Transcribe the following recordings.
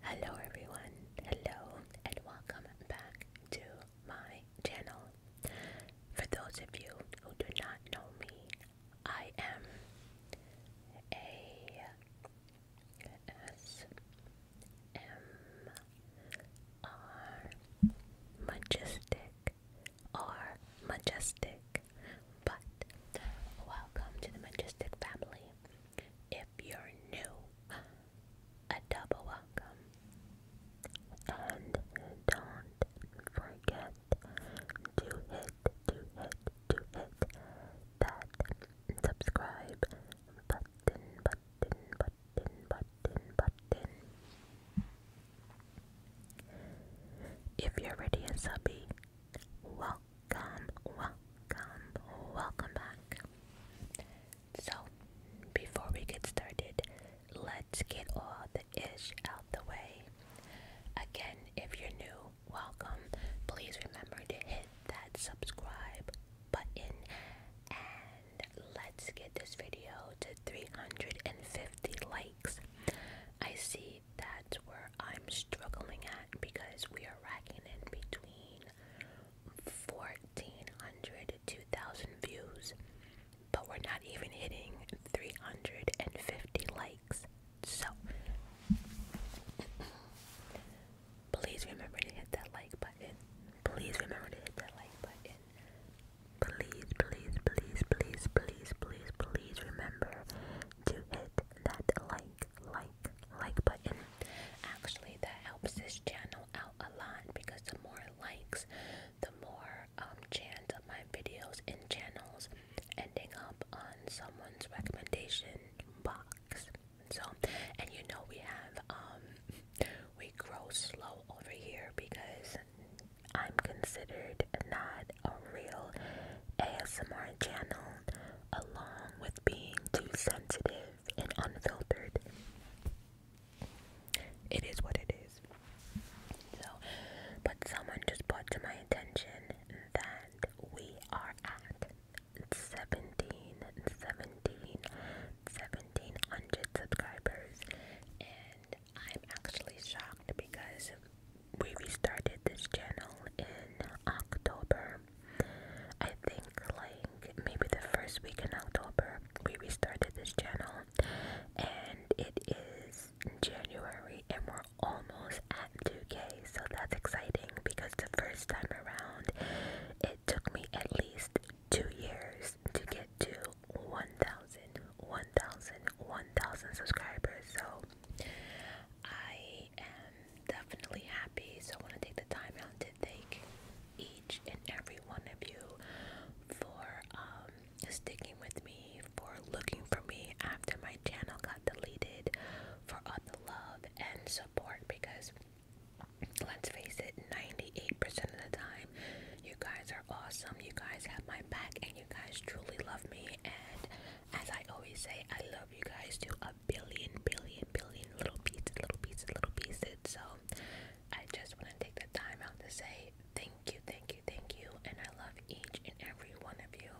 Hello everyone, hello and welcome back to my channel. For those of you who do not know me, I am a S M R majestic or majestic but welcome to the Majestic family. If you're new, a double welcome. And don't forget to hit, to hit, to hit that subscribe button, button, button, button, button. If you're already a subby, Welcome, welcome, welcome back. So, before we get started, let's get all the ish out the way. Again, if you're new, welcome. Please remember to hit that subscribe button and let's get this video to 350 likes. I see that's where I'm struggling at because we are racking in between 1400 2000 views, but we're not even hitting 350 likes. So, please remember to hit that like button. Please remember to hit that like button. Please, please, please, please, please, please, please remember to hit that like like, like, button. Actually, that helps this channel out a lot because the more likes, the more um, chance of my videos and channels ending up on someone's recommendation box. So, and you know we have um we grow slow over here because I'm considered not a real ASMR channel, along with being too sensitive and unfiltered. It is what it is. So, but someone just brought to my attention that we are at 17, 17, 1700 subscribers, and I'm actually shocked because we restarted this channel in October. I think like maybe the first week in October we restarted this channel and it is January and we're almost at 2k so that's exciting because the first time around it took me at least two years to get to 1,000 1,000 1,000 subscribers so I am am definitely happy, so I want to take the time out to thank each and every one of you for um, sticking with me, for looking for me after my channel got deleted, for all the love and support because let's face it, 98% of the time, you guys are awesome, you guys have my back, and you guys truly love me. And as I always say, I love you guys to a billion, billion, billion little pieces, little pieces, little pieces. So I just want to take the time out to say thank you, thank you, thank you. And I love each and every one of you.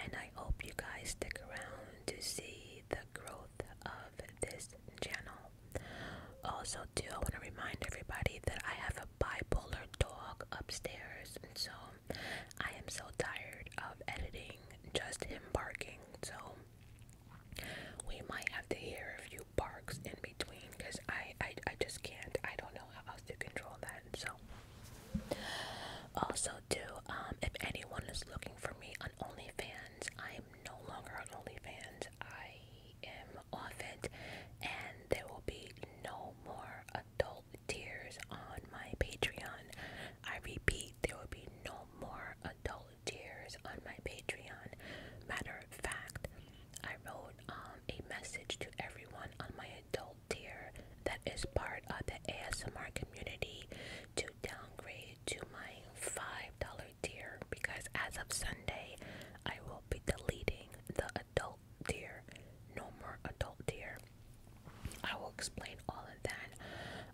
And I hope you guys stick around to see the growth of this channel. Also, too, I want to remind everybody that I have a bipolar dog upstairs. And so I am so tired of editing just him barking. So we might have to hear a few barks in between because I, I I just can't. I don't know how else to control that. So also do um, if anyone is looking for me on OnlyFans, I'm no longer on OnlyFans. I am off it, and there will be no more adult Tears on my Patreon. I repeat, there will be no more adult tears on my Patreon. Matter of fact, I wrote um, a message to everyone on my adult tier that is part of the ASMR community to downgrade to my $5 tier because as of Sunday, I will be deleting the adult tier. No more adult tier. I will explain all of that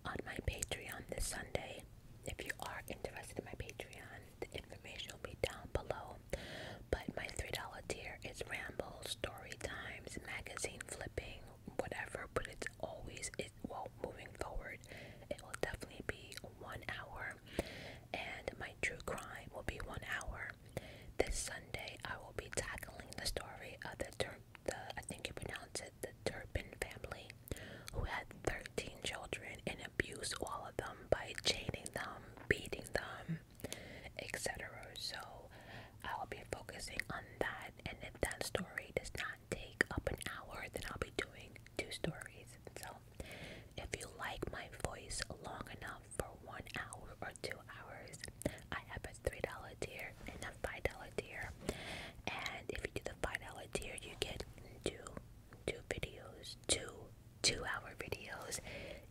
on my Patreon this Sunday. If you are interested in my Patreon, the information will be down below. But my $3 tier is ramble, story times, magazine flipping, whatever, but it's always, it, well, moving forward, it will definitely be one hour. And my true crime will be one hour. This Sunday, I will be tackling the story of the the I think you pronounce it the Turpin family, who had 13 children and abused all of them by chaining them, beating them, etc. So I'll be focusing on that, and if that story does not take up an hour, then I'll be doing two stories. So if you like my voice long enough for one hour or two hours, I have a $3 tier and a $5 tier. And if you do the $5 tier, you get two, two videos, two two hour videos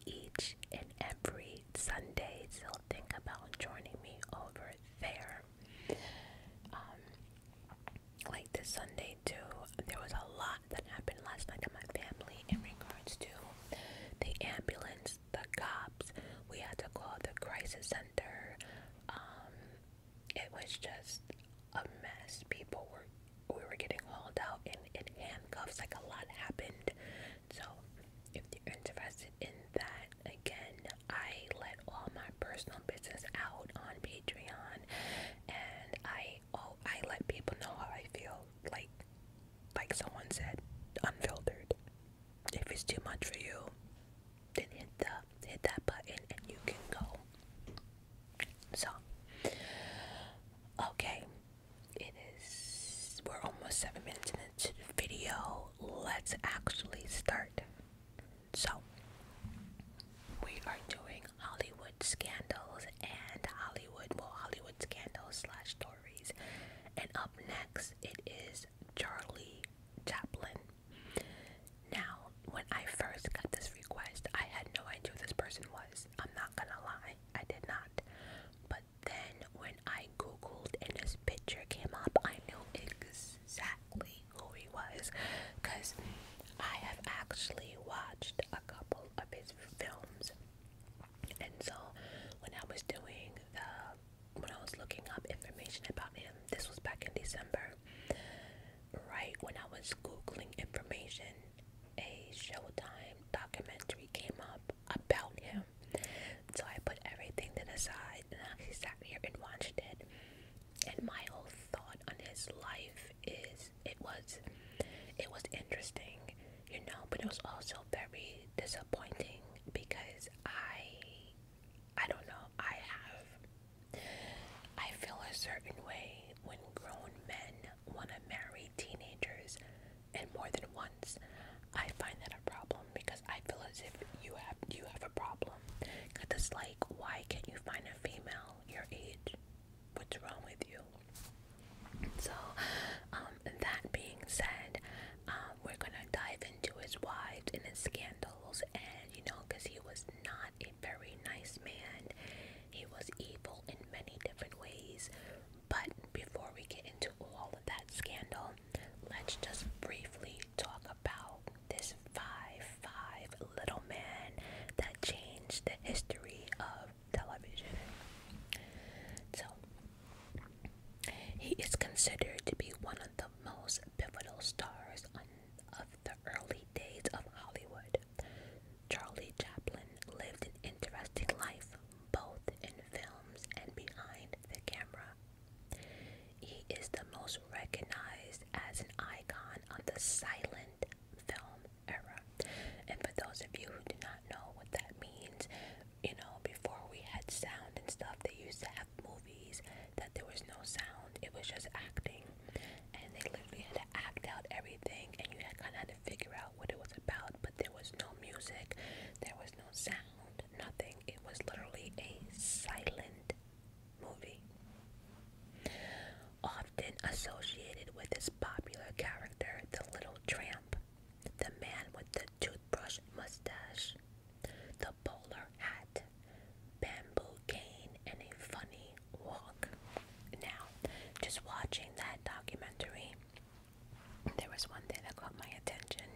each and every Sunday. So think about joining me over there. Um, like this Sunday too, there was a lot that happened last night in my family in regards to the ambulance, the cops. We had to call the crisis center. Um, it was just a mess. People were we were getting hauled out in, in handcuffs. Like a lot happened. So if you're interested in that, again, I let all my personal business out on Patreon, and I oh I let people know how I feel. Like like someone said, unfiltered if it's too much for you, then hit the hit that button and you can go. So okay, it is we're almost seven minutes into the video. Let's actually start. So we are doing Hollywood scandals and Hollywood well Hollywood scandals slash stories. And up next it is Charlie Chaplin. Now, when I first got this request, I had no idea who this person was. I'm not gonna lie, I did not. But then when I googled and his picture came up, I knew exactly who he was because I have actually watched a couple of his films. And so when I was doing the when I was looking up information about him, this was back in December, right when I was Googling information, a Showtime documentary came up about him. So I put everything to the side and I actually sat here and watched it. And my whole thought on his life is it was it was interesting, you know, but it was also very disappointing because I I don't know. I have. I feel a certain way when grown men want to marry teenagers, and more than once, I find that a problem because I feel as if you have you have a problem. Cause it's like, why can't you find a female your age? What's wrong with you? So, um, that being said, um, we're gonna dive into his wives and his scandals, and you know, because he was not a very nice man, he was evil in many different ways. But before we get into all of that scandal, let's just briefly talk about this 5 5 little man that changed the history of television. So, he is considered to be one of the most pivotal stars of the early days of Hollywood. Charlie Chaplin lived an interesting life, both in films and behind the camera. He is the most recognized as an icon of the silent film era. And for those of you who do not know what that means, you know, before we had sound and stuff, they used to have movies that there was no sound. It was just acting. And they literally had to act out everything, and you had kind of had to figure out what it was about. But there was no music, there was no sound, nothing. It was literally a silent movie. Often associated with this popular character, the little tramp, the man with the toothbrush mustache the bowler hat, bamboo cane, and a funny walk. Now, just watching that documentary, there was one thing that caught my attention.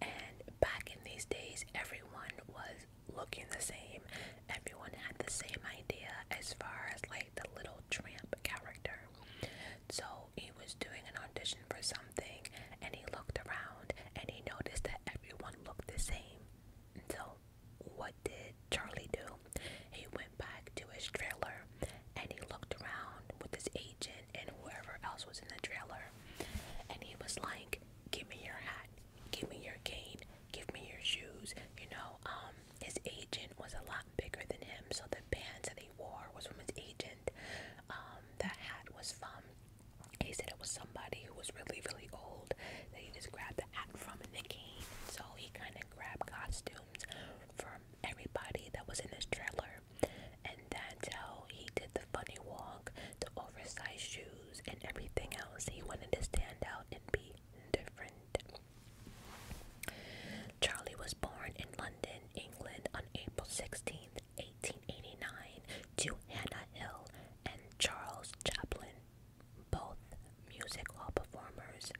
And back in these days, everyone was looking the same. Everyone had the same idea as far as like the little tramp character. So he was doing an audition for and he looked around and he noticed that everyone looked the same. So, what did Charlie do? He went back to his trailer and he looked around with his agent and whoever else was in the trailer and he was like, Give me your hat, give me your cane, give me your shoes. You know, um, his agent was a lot bigger than him, so the pants that he wore was from his agent. Um, the hat was from he said it was somebody who was really, really old that he just grabbed the act from in the game. So he kind of grabbed costumes from everybody that was in his trailer. And that's how he did the funny walk, the oversized shoes, and everything else. He wanted to stand out and be different. Charlie was born in London, England on April 16, 1889 to Hannah Hill and Charles Chaplin, both music hall performers,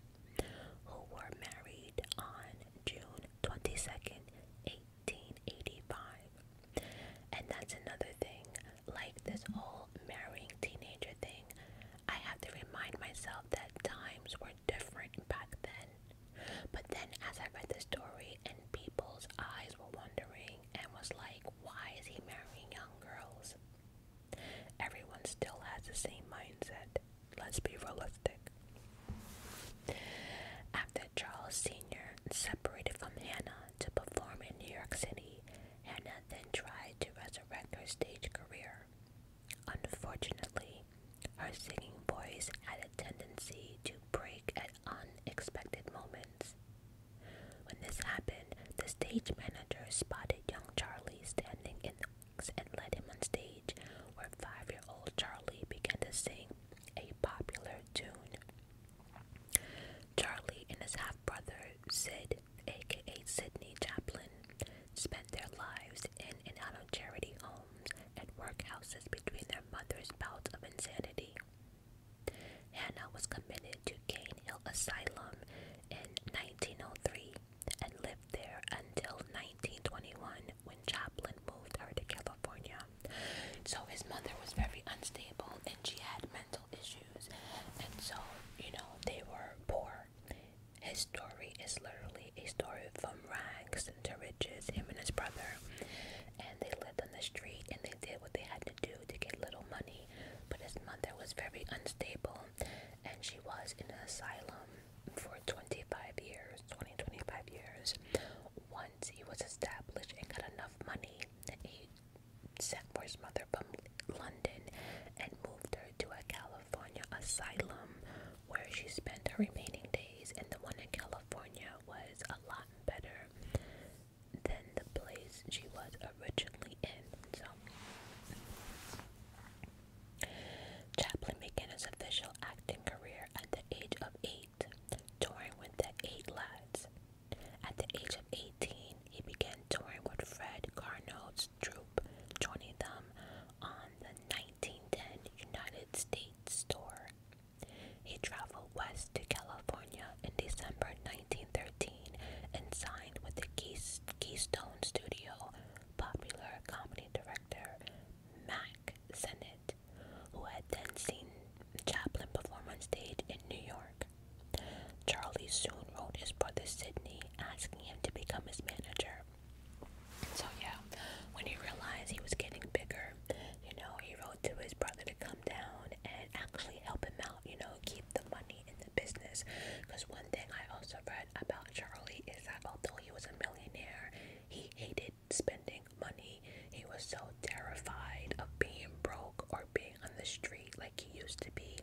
who were married on June 22nd, 1885. And that's another thing, like this whole marrying teenager thing, I have to remind myself that times were different back then. But then as I read the story and people's eyes were wondering and was like, why is he marrying young girls? Everyone still has the same mindset. Let's be realistic. After Charles Sr. separated from Hannah to perform in New York City, Hannah then tried to resurrect her stage career. Unfortunately, her singing voice had a tendency to break unexpected moments. When this happened, the stage manager spotted young Charlie standing in the wings and led him on stage, where five year old Charlie began to sing a popular tune. Charlie and his half brother, Sid, aka Sydney Chaplin, spent their lives in and out of charity homes and workhouses between their mother's bouts of insanity. Hannah was committed to Cane Hill Asylum in 1903 and lived there until 1921 when Chaplin moved her to California. So his mother was very unstable and she had mental issues, and so you know they were poor. His story is literally a story from rags worse into riches, him and his brother. And they lived on the street and they did what they had to do to get little money. But his mother was very unstable and she was in an asylum for 25 years, 20, 25 years. Once he was established and got enough money, he sent for his mother from London and moved her to a California asylum where she spent her remaining days. And the one in California was a better than the place she was originally in. So, Chaplin began his official acting career at the age of eight, touring with the Eight Lights. At the age of 18, he began touring with Fred Carnot's troupe, joining them on the 1910 United States Tour. He traveled west to California in December 1913 and signed with the Keystone Studio popular comedy director Mack Sennett, who had then seen Chaplin perform on stage in New York. Charlie soon wrote his brother Sidney asking him to become his manager. So yeah, when he realized he was getting bigger, you know, he to his brother to come down and actually help him out, you know, keep the money in the business. Because one thing I also read about Charlie is that although he was a millionaire, he hated spending money. He was so terrified of being broke or being on the street like he used to be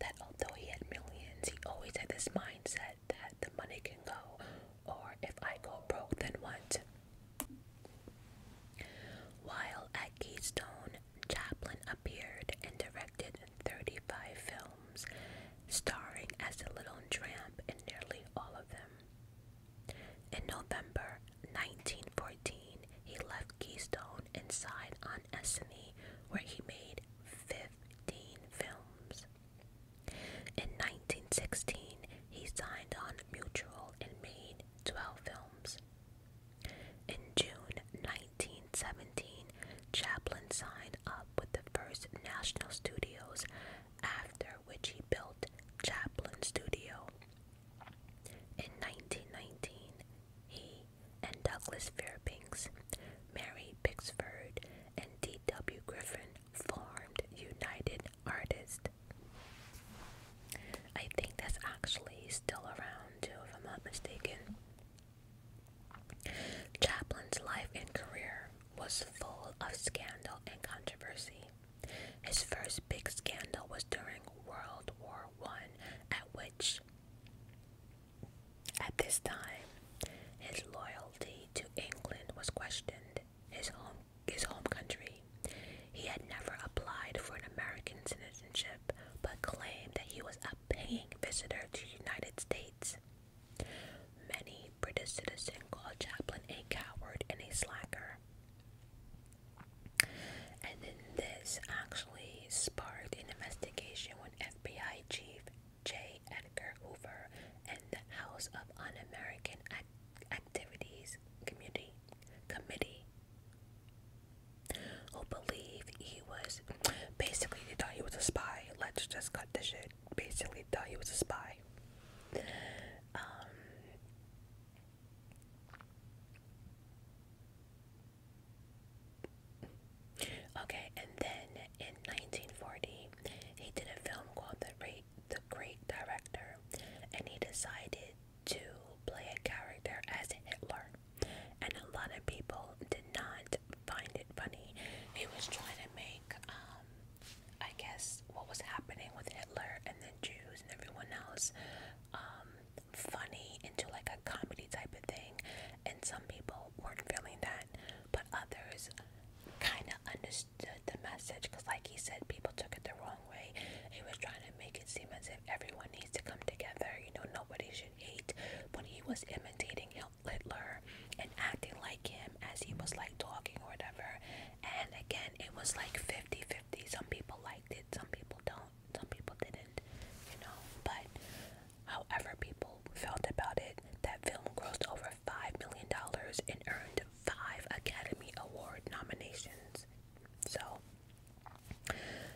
that although he had millions, he always had this mindset that the money can go, or if I go broke, then what? While at Keystone, Chaplin appeared and directed 35 films, starring as a little tramp in nearly all of them. In November 1914, he left Keystone and signed on Essanay, where he made 15 films. In 1916, he signed on Mutual and made 12 films. In June 1917, Chaplin signed up with the First National Studios, after which he built Chaplin Studio. In 1919, he and Douglas Fairbanks, Mary Pixford, and D.W. Griffin formed United artist. I think that's actually still around if I'm not mistaken. Chaplin's life and career was full of scandal and controversy. His first big scandal was during World War One, at which, at this time, his loyalty to England was questioned. His home his home country. He had never applied for an American citizenship, but claimed that he was a paying visitor to United States. Many British citizens called Chaplin a coward and a slacker. And then this actually sparked an investigation when FBI Chief J. Edgar Hoover and the House of Un-American activities community committee who believed he was basically they thought he was a spy. Let's just cut the shit. Basically thought he was a spy. Um, okay, and then in 1940, he did a film called The the great director and he decided to play a character as Hitler and a lot of people did not find it funny. He was trying to make um I guess what was happening with Hitler and the Jews and everyone else um funny into like a comedy type of thing and some people weren't feeling that but others kind of understood the message because, like he said, people took it the wrong way. He was trying to make it seem as if everyone needs to come together, you know, nobody should hate. When he was imitating Hitler and acting like him as he was like talking or whatever, and again, it was like 50 50. Some people liked it, some people don't, some people didn't, you know, but however people felt about it, that film grossed over $5 million and earned five Academy Award nominations. So,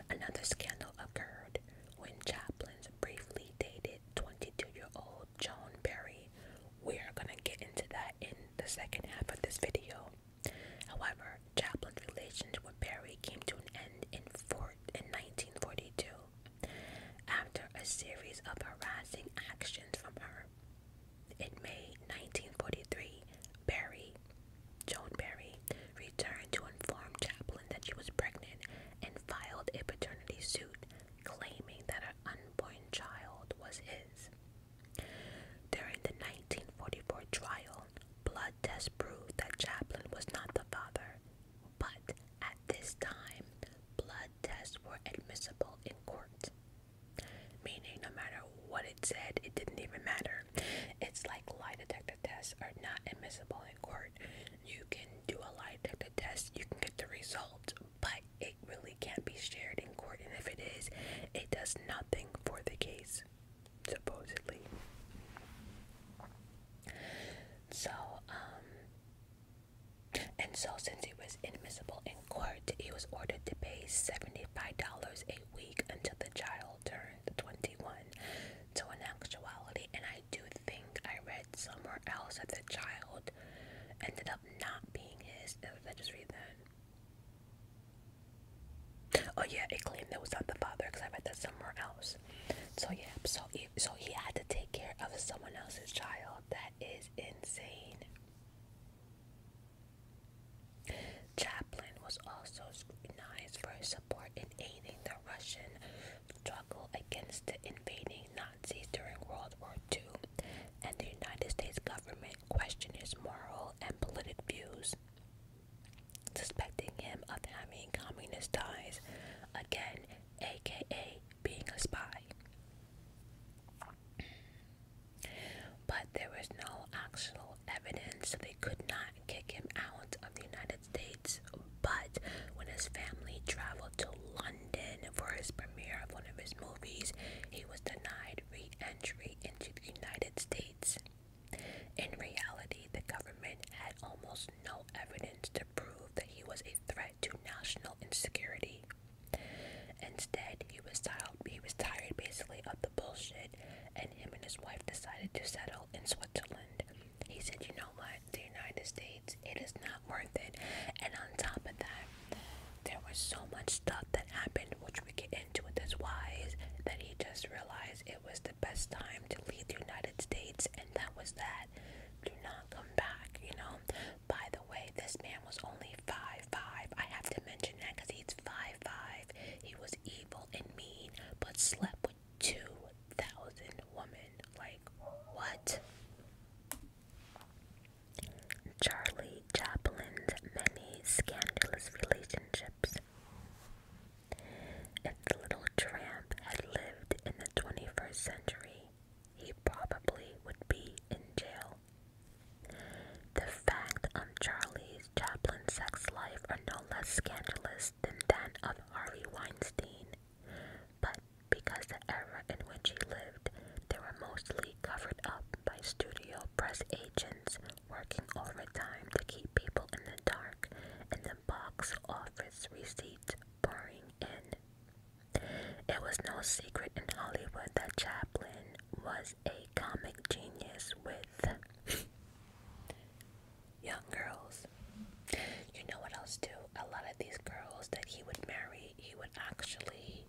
another scandal occurred when Chaplins briefly dated 22-year-old Joan Berry. We're gonna get into that in the second half of this video. However, Chaplin's relations with Barry came to an end in, four, in 1942 after a series of harassing actions from her. In May 1943, Barry, Joan Barry, returned to inform Chaplin that she was pregnant and filed a paternity suit claiming that her unborn child was his. During the 1944 trial, blood tests proved that Chaplin was not the father, but at this time, blood tests were admissible in court. Meaning, no matter what it said, it didn't even matter. It's like lie detector tests are not admissible in court. You can do a lie detector test, you can get the results, but it really can't be shared in court. And if it is, it does nothing for the case, supposedly. So, um, and so since it was admissible inadmissible court, he was ordered to pay $75 a week until the child turned 21. So, in actuality, and I do think I read somewhere else that the child ended up not being his. Did I just read that? Oh, yeah, it claimed that was not the father because I read that somewhere else. So, yeah, so so he had to take care of someone else's child. That is insane. Chaplin was also scrutinized for his support in aiding the Russian struggle against the invading Nazis during World War II, and the United States government questioned his moral and political views, suspecting him of having communist ties, again, aka being a spy. But there was no actual evidence, so they could not kick him out of the United States. But when his family traveled to London for his premiere of one of his movies, he was denied re entry into the United States. In reality, the government had almost no evidence to prove that he was a threat to national insecurity. Instead, he was tired, he was tired basically of the out the bullshit, and him and his wife decided to settle in Switzerland. He said, You know what? The United States, it is not worth it. And on top of that, there was so much stuff that happened, which we get into with his wives, that he just realized it was the best time to leave the United States, and that was that. Do not come back, you know? By the way, this man was only five five. I have to mention that because he's five five. He was evil and mean, but slept with two thousand women. Like what? Charlie Chaplin's many scandalous relationships. If the little tramp had lived in the 21st century, he probably would be in jail the fact on Charlie's Chaplin's sex life are no less scandalous than that of Harvey Weinstein, but because the era in which he lived, they were mostly covered up by studio press agents working overtime to keep people in the dark and the box office receipts pouring in. It was no secret in Hollywood that Chaplin was a comic genius with young girls. You know what else, too? A lot of these girls that he would marry, he would actually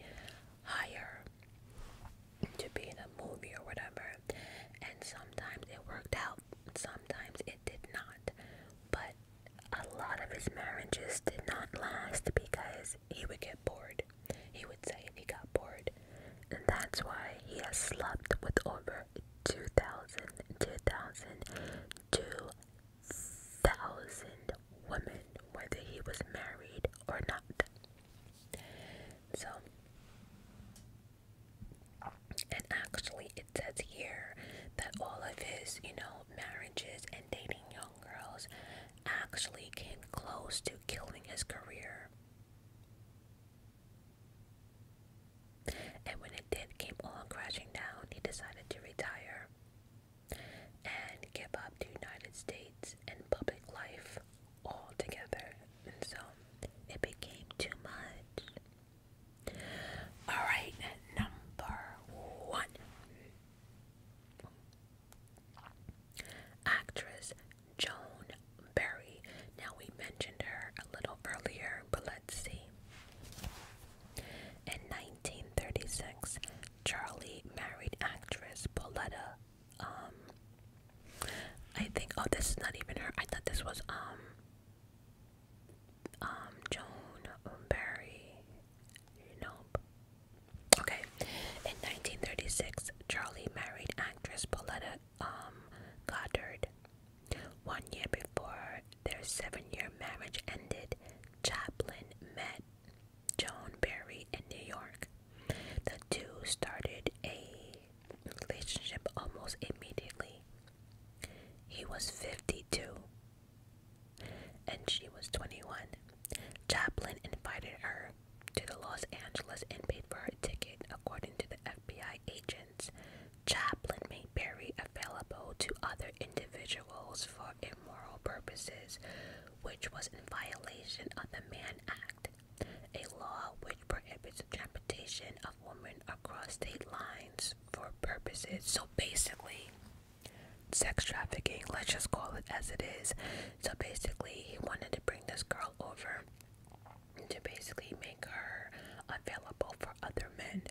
hire to be in a movie or whatever. And sometimes it worked out, sometimes it did not. But a lot of his marriages did not last because he would get bored. He would say he got bored. And that's why he has slept with over 2,000, 2,000, 2,000 women, whether he was married or not. So, and actually, it says here that all of his, you know, marriages and dating young girls actually came close to killing his career. And when it did came all crashing down, he decided to retire and give up the United States and public life altogether. And so it became too much. All right, number one. Actress Joan Barry. Now, we mentioned her a little earlier, but let's see. In 1936, Charlie married actress Pauletta. Um, I think, oh, this is not even her. I thought this was, um, um, Joan Barry. Nope. Okay. In 1936, Charlie married actress Paulette um, Goddard. One year before their seven-year marriage ended, Chaplin met Joan Berry in New York. The two started a relationship almost immediately. He was 52 and she was 21. Chaplin invited her to the Los Angeles and paid for her ticket, according to the FBI agents. Chaplin made Perry available to other individuals for immoral purposes, which was in violation of the Mann Act, a law which prohibits the transportation of women across state lines for purposes. So basically, sex trafficking, let's just call it as it is. So basically, he wanted to bring this girl over to basically make her available for other men.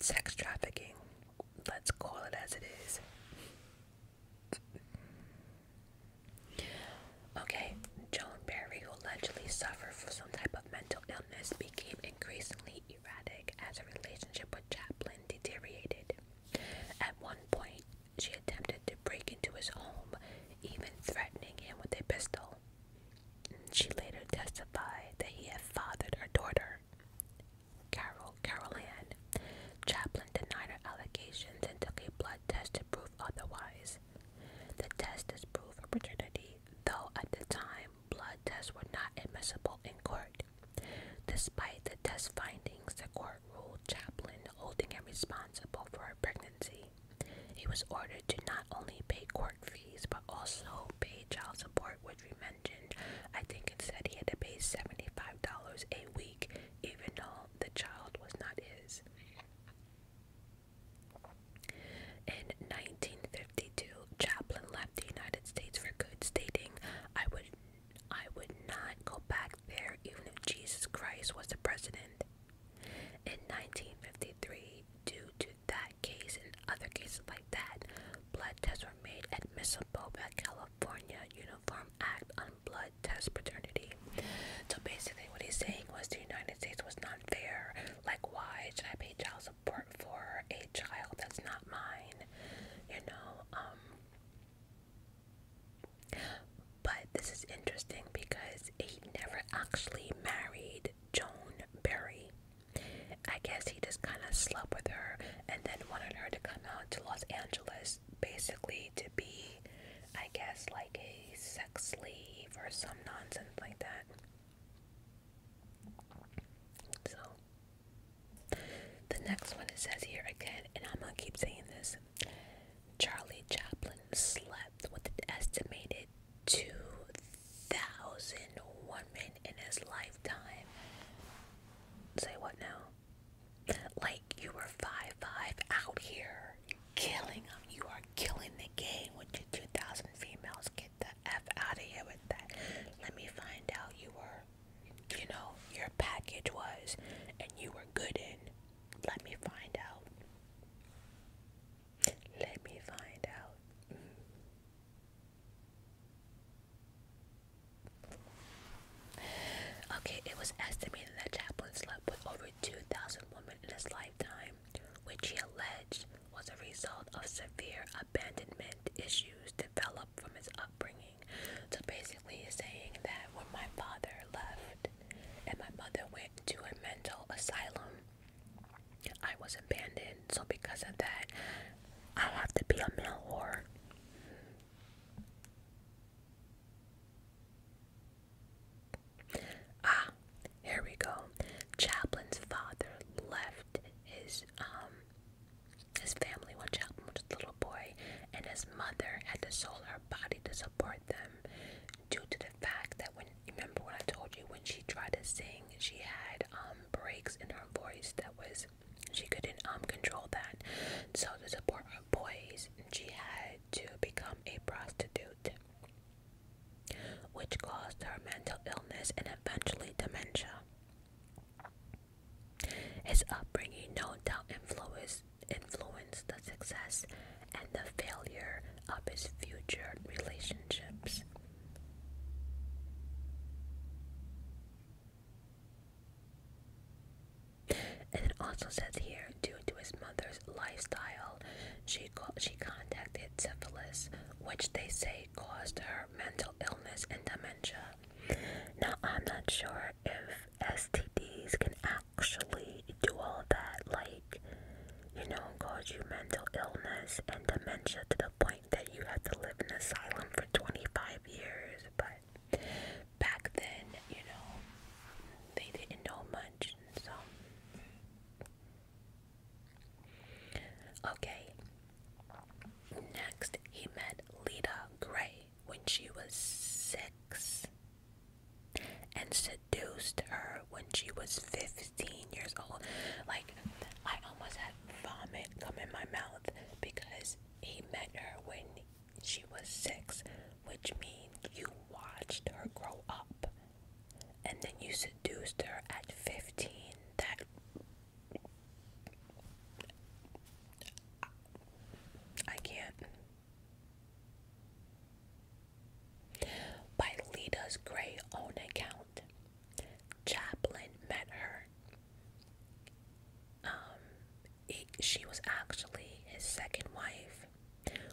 Sex trafficking. Let's call it as it is. Okay, Joan Berry, who allegedly suffered from some type of mental illness, became increasingly erratic as her relationship with Chaplin deteriorated. At one point, she attempted to break into his home, even threatening him with a pistol. She later testified that he had fathered her daughter, Carol Carol Chaplin denied her allegations and took a blood test to prove otherwise. The test is proof of paternity, though at the time blood tests were not admissible in court. Despite the test findings, the court court ruled Chaplin holding him responsible for her pregnancy. He was ordered to not only pay court fees but also pay child support, which we mentioned. I think it said he had to pay $75 a week, even though the child was not his. In 1952, Chaplin left the United States for good, stating, I would I would not go back there even if Jesus Christ was the president. In 1953, due to that case and other cases like that, blood tests were made admissible by California Uniform Act on Blood Test Paternity. So basically, what he's saying was the United States was not fair. Like, why should I pay child support for a child that's not mine? You know, um, but this is interesting because he never actually married Joan Berry. I guess he just kind of slept with her and then wanted her to come out to Los Angeles basically to be, I guess, like a sex slave or some nonsense like that. So, the next one it says here again, and I'm gonna keep saying this Charlie Chaplin slept with an estimated 2,000 women in his lifetime. Say what now? Like you were five, five out here killing them. You are killing the game with your 2,000 females. Get the F out of here with that. Let me find out you were, you know, your package was, and you were good in. Let me find out. Let me find out. Mm. Okay, it was estimated that Chaplin slept with over 2,000 women in his lifetime, which he alleged was a result of severe abandonment issues developed from his upbringing. So basically, he's saying that when my father left, and my mother went to a mental asylum. I was abandoned, so because of that, I have to be a male whore. Ah, here we go. Chaplin's father left his um his family when Chaplin was a little boy, and his mother had to sell her body to support them due to the fact that when remember when I told you when she tried to sing, she had um breaks in her voice that was she couldn't um control that. So to support her boys, she had to become a prostitute, which caused her mental illness and eventually dementia. His upbringing no doubt influenced Influence the success and the failure of his future relationships. it also says here, due to his mother's lifestyle, she she contacted syphilis, which they say caused her mental illness and dementia. Now I'm not sure if STDs can actually do all that, like, you know, cause you mental illness and dementia to the point that you have to live in asylum for 25 years. But back then, you know, they didn't know much, so. Okay. Next, he met Lita Gray when she was six and seduced her when she was 15 years old. Like, I almost had vomit come in my mouth because he met her when she was six, which means you watched her grow up and then you seduced her at 15. That. I can't. By Lida's own account, Chaplin met her. Um, she was actually his second wife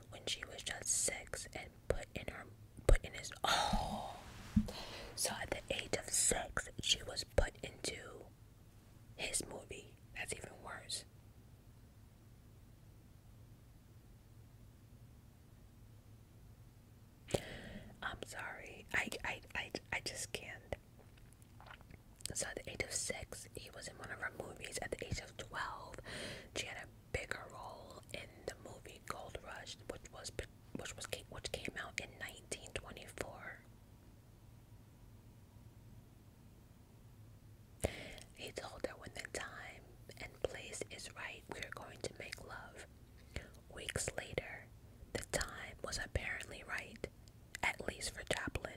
when she was just six and put in her put in his oh so at the age of six she was put into his movie that's even worse I'm sorry. I I I I just can't. So at the age of six, he was in one of her movies. At the age of twelve, she had a bigger role in the movie Gold Rush, which was which was which came out in 1924. He told her when the time and place is right, we are going to make love. Weeks later, the time was apparently right, at least for Chaplin.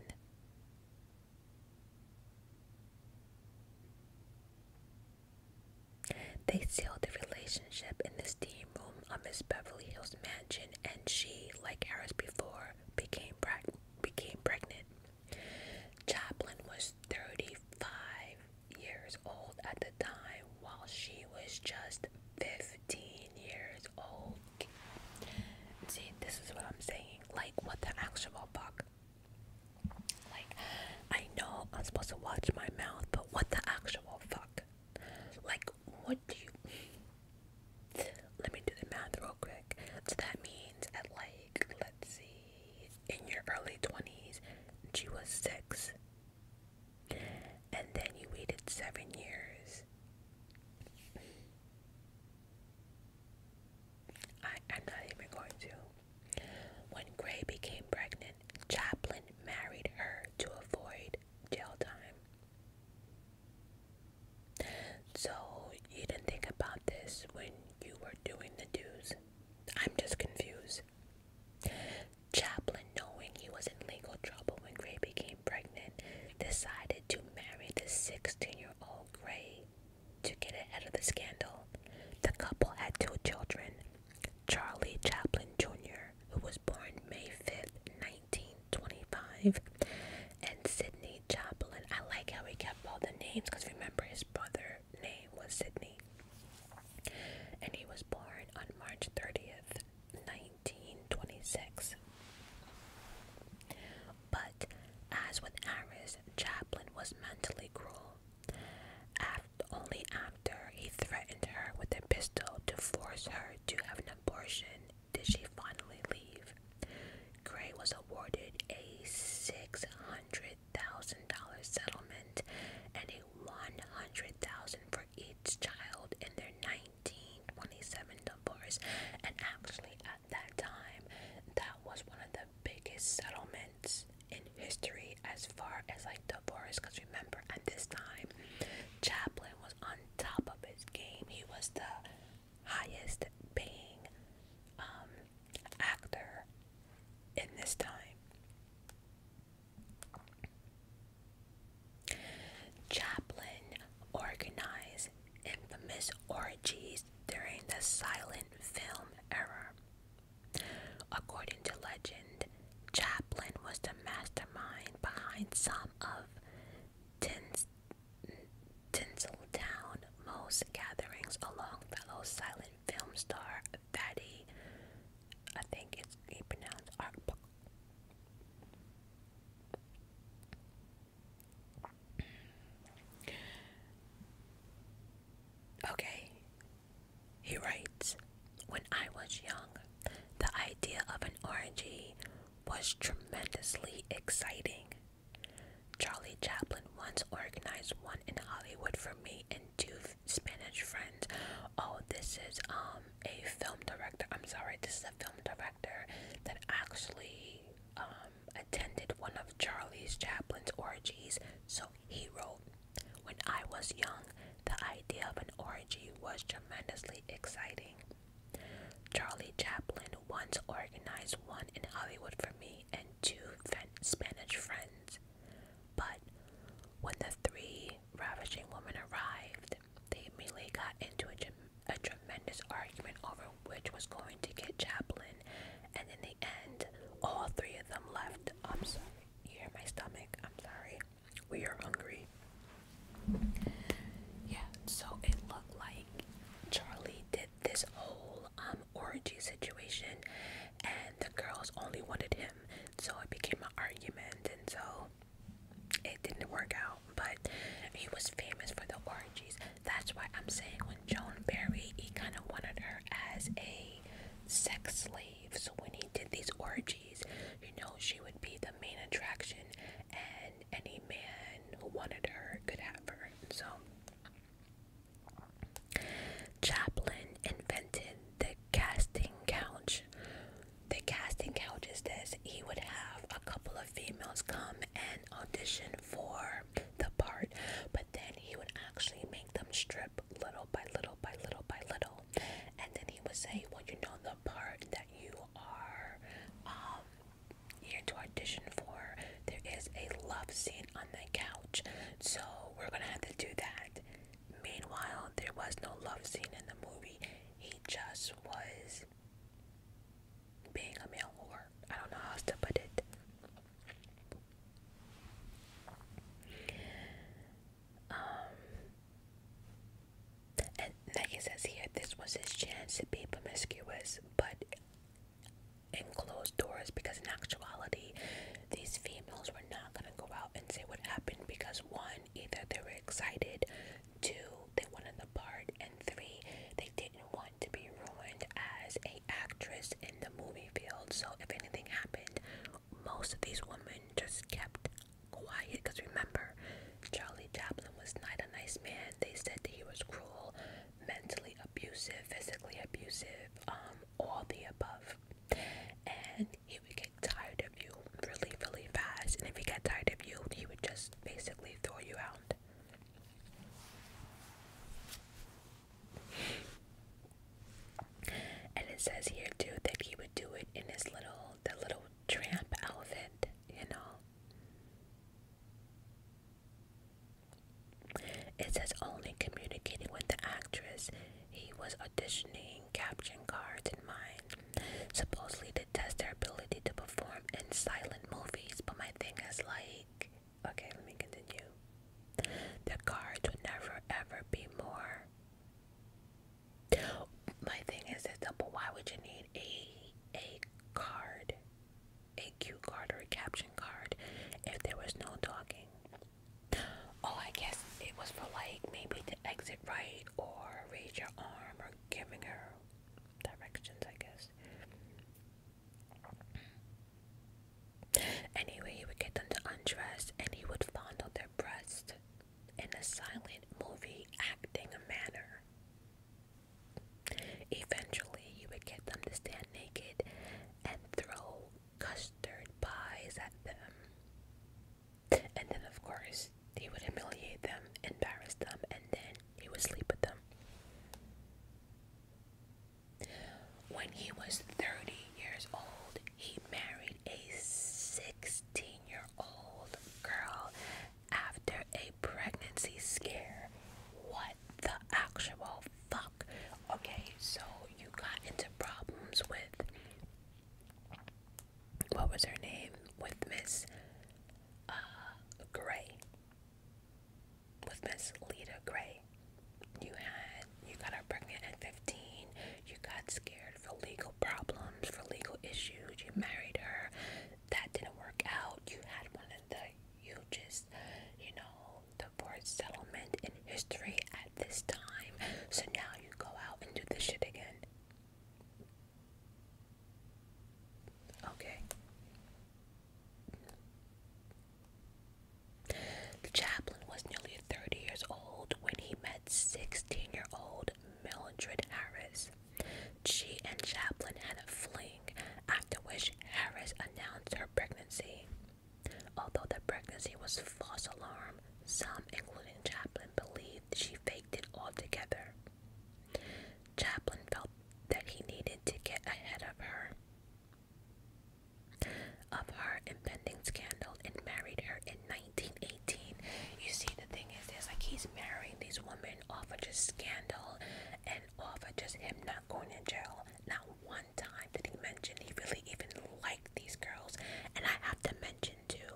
They sealed the relationship in the steam room of Miss Beverly Hills mansion, and she, like Harris before, became pregnant. Joplin was 35 years old at the time, while she was just 15 years old. See, this is what I'm saying. Like, what the actual fuck? Like, I know I'm supposed to watch my mouth, but what the actual fuck? Like, what do you. Let me do the math real quick. So that means at like, let's see, in your early 20s, she was six. And then you waited seven years. I, I'm not even going to. When Gray became pregnant, Chaplin married her to avoid jail time. So you didn't think about this when you were doing the dues. I'm just confused. Chaplin, knowing he was in legal trouble when Gray became pregnant, decided to marry the 16-year-old Gray to get ahead of the scandal. The couple had two children, Charlie Chaplin Jr., who was born May fifth, 1925, and Sydney. Sidney Joplin. I like how he kept all the names because remember his brother name was Sydney, And he was born on March 30th, 1926. But as with Aris, Chaplin was mentally cruel. After, only after he threatened her with a pistol to force her to have an abortion did she finally leave. Gray was awarded a $600,000 settlement and a $100,000 for each child in their 1927 divorce. And actually, at that time, that was one of the biggest settlements in history as far as like divorce. Because remember, at this time, Chaplin was on top of his game. He was the highest paying um, actor in this time. Chaplin organized infamous orgies during the silent film era. According to legend, Chaplin was the mastermind behind some of Tin's Town, most gatherings along fellow silent film star Fatty, I think it's he pronounced Arp. Okay, he writes, when I was young, the idea of an orgy was tremendously exciting. Charlie Chaplin once organized one in Hollywood for me and two Spanish friends. Oh, this is um a film director. I'm sorry, this is a film director that actually um, attended one of Charlie Chaplin's orgies. So he wrote, "When I was young, the idea of an orgy was tremendously exciting." Charlie Chaplin England, one to organize, one in Hollywood for me, and two Spanish friends. But when the three ravishing women arrived, they immediately got into a, tremendous argument over which was going to get Chaplin, and in the end, all three of them left. I'm sorry, you hear my stomach? I'm sorry. We are hungry. Yeah, so it looked like Charlie this whole um orgy situation and the girls only wanted him so it became an argument and so it didn't work out but he was famous for the orgies that's why i'm saying when joan barry he kind of wanted her as a sex slave so when he did these orgies you know she would be the main attraction and any man who wanted her could have her so Chaplin invented the casting couch. The casting couch is this he would have a couple of females come and audition for the part, but then he would actually make them strip little by little by little by little. And then he would say, Well, you know, the part that you are um, here to audition for. There is a love scene on the couch, so we're gonna have to do that. Meanwhile, there was no love scene in the movie. He just was being a male whore. I don't know how else to put it. Um, and like it says here, this was his chance to be promiscuous, but and closed doors because in actuality these females were not going to go out and say what happened because one either they were excited two they wanted the part and three they didn't want to be ruined as a actress in the movie field so if anything happened most of these women just kept quiet because remember charlie chaplin was not a nice man they said that he was cruel mentally abusive, physically abusive, um, all the above. And he would get tired of you really, really fast. And if he got tired of you, he would just basically throw you out. And it says here too that he would do it in his little, the little tramp outfit, you know. It says only communicating with the actress. He was auditioning caption cards in mind, supposedly to test their ability to perform in silent movies. But my thing is like, okay, let me continue. The cards would never ever be more. My thing is that, but why would you need a a card? a cue card or a caption card if there was no talking. Oh, I guess it was for like maybe to exit right or raise your arm or giving her directions, I guess. Anyway, he would get them to undress and he would fondle their breast in a silent movie acting manner. Eventually, you would get them to stand naked and throw custard pies at them. And then, of course, he would humiliate them, embarrass them, and then he would sleep with them. When he was 30 years old, he married a 16 year old girl after a pregnancy scare. What? the actual fuck? Okay, so you got into problems with what was her name? With Miss uh, Gray. With Miss Lita Gray. You had you got her pregnant at 15. You got scared for legal problems, for legal issues. You married her. That didn't work out. You had one and the you just, you know, the word settlement in history at this time. So now you go out and do this shit again. Okay. The chaplain was nearly 30 years old when he met 16 year old Mildred Harris. She and chaplain had a fling after which Harris announced her pregnancy. Although the pregnancy was false alarm, some, including Chaplin, believed she faked it altogether. Chaplin felt that he needed to get ahead of her, of her impending scandal, and married her in 1918. You see, the thing is, is like he's marrying these women off of just scandal and over just him not going in jail. Not one time did he mention he really even liked these girls. And I have to mention too,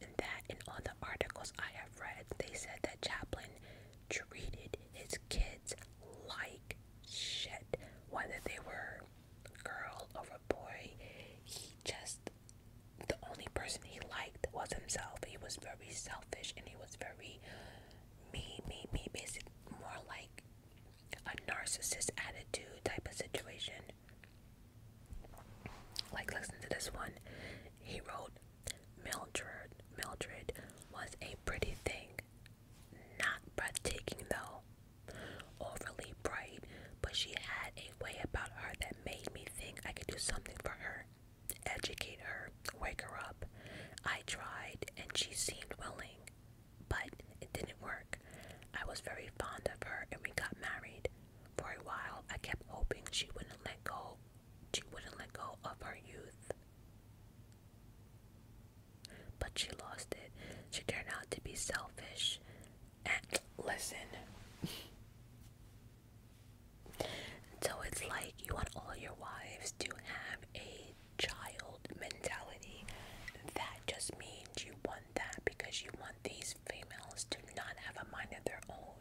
in that in all the articles I have read, they said that Chaplin treated his kids like shit. Whether they were a girl or a boy, he just the only person he liked was himself. He was very selfish and he was very me, me, me, basic, more like a narcissist attitude type of situation. Like, listen to this one. He wrote, Mildred, Mildred was a pretty thing, not breathtaking though, overly bright, but she had a way about her that made me think I could do something for her, educate her, wake her up. I tried and she seemed willing, but it didn't work. I was very fond of her and we got married. For a while, I kept hoping she wouldn't let go. She wouldn't let go of her youth. But she lost it. She turned out to be selfish. And listen. so it's like you want all your wives to have a child mentality. That just means you want that because you want these females to not have a mind of their own.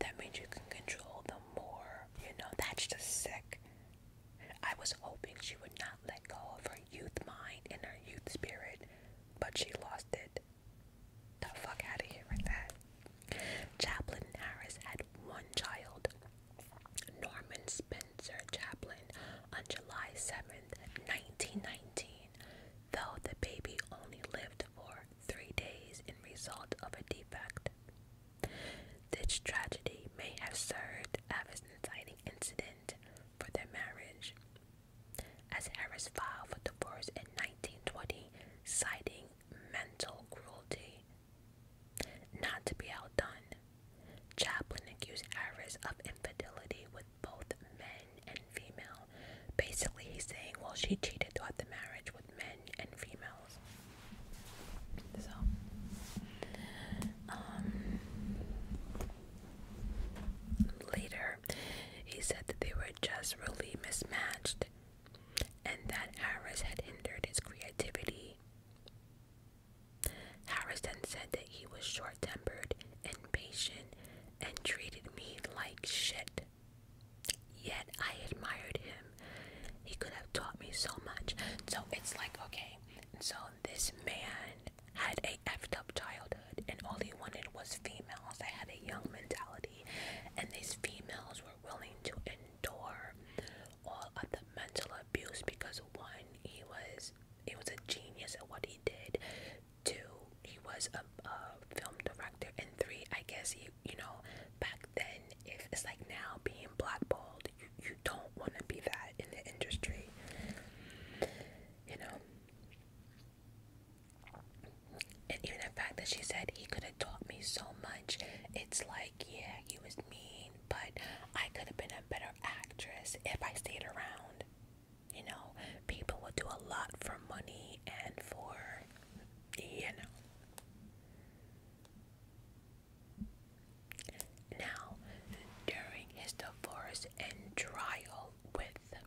That means you can control them more. You know, that's just sick. I was hoping she would not let go of her youth mind and her youth spirit, but she lost it. The fuck out of here with that. Chaplain Harris had one child, Norman Spencer Chaplin on July 7th, 1919, though the baby only lived for three days in result of a defect. This tragedy may have served as an inciting incident for their marriage, as Harris filed for divorce in 1920, citing mental cruelty not to be outdone, Chaplin accused Iris of infidelity with both men and female. Basically, he's saying, well, she cheated throughout the marriage with men and females. So, um, later, he said that they were just really mismatched and that Iris had hindered his creativity Harrison said that he was short tempered, impatient, and treated me like shit. Yet I admired him. He could have taught me so much. So it's like, okay, so this man had a effed up childhood and all he wanted was females. I had a young mentality, and these females were willing to endure all of the mental abuse because one, he was he was a genius at what he did. Two, he was a, a film director, and three, I guess he you know back then if it's like now being blackballed, you you don't want to be that in the industry, you know. And even the fact that she said he could have taught me so much, it's like, yeah, he was mean, but I could have been a better actress if I stayed around. You know, people will do a lot for money and for, you know. Now, during his divorce and trial with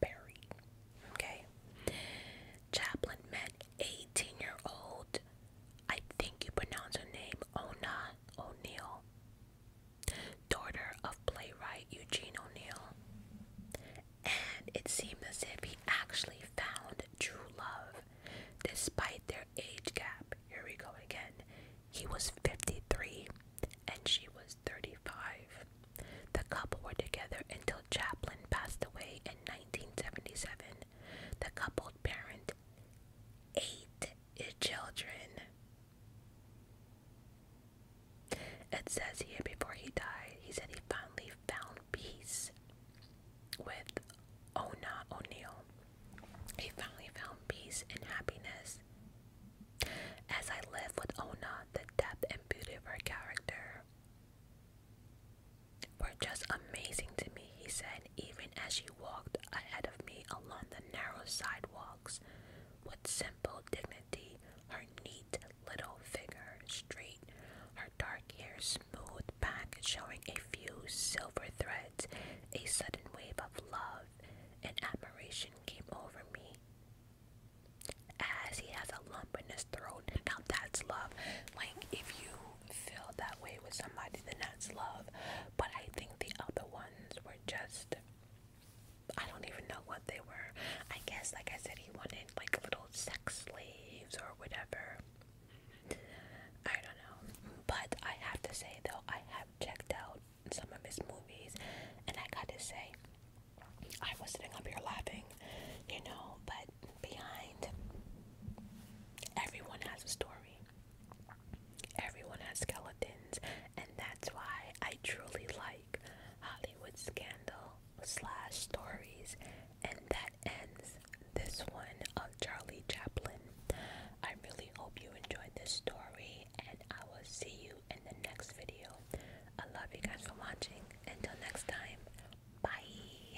Barry, okay, Chaplin met 18 year old I think you pronounce her name Ona O'Neill, daughter of playwright Eugene O'Neill. And it seemed as if he actually found true love despite their age gap. Here we go again. He was 53 and she was 35. The couple were together until Chaplin passed away in 1977. The couple parent eight children. It says here before he died, he said he finally found peace with Ona O'Neill. He finally found peace and happiness. As I live with Ona, the depth and beauty of her character were just amazing to me, he said, even as she walked ahead of me along the narrow sidewalks. With simple dignity, her neat little figure straight, her dark hair smoothed back, showing a few silver threads, a sudden wave of love and admiration came over me. As he has a lump in his throat, now that's love. Like if you feel that way with somebody, then that's love. But I think the other ones were just, I don't even know what they were. I guess, like I said, he wanted like little sex slaves or whatever. I don't know. But I have to say, though, I have checked out some of his movies, and I got to say, I was sitting up here laughing, you know, but behind everyone has a story. Everyone has skeletons, and that's why I truly like Hollywood scandal slash stories. And that ends this one of Charlie Chaplin. I really hope you enjoyed this story, and I will see you in the next video. I love you guys for watching. Until next time, bye.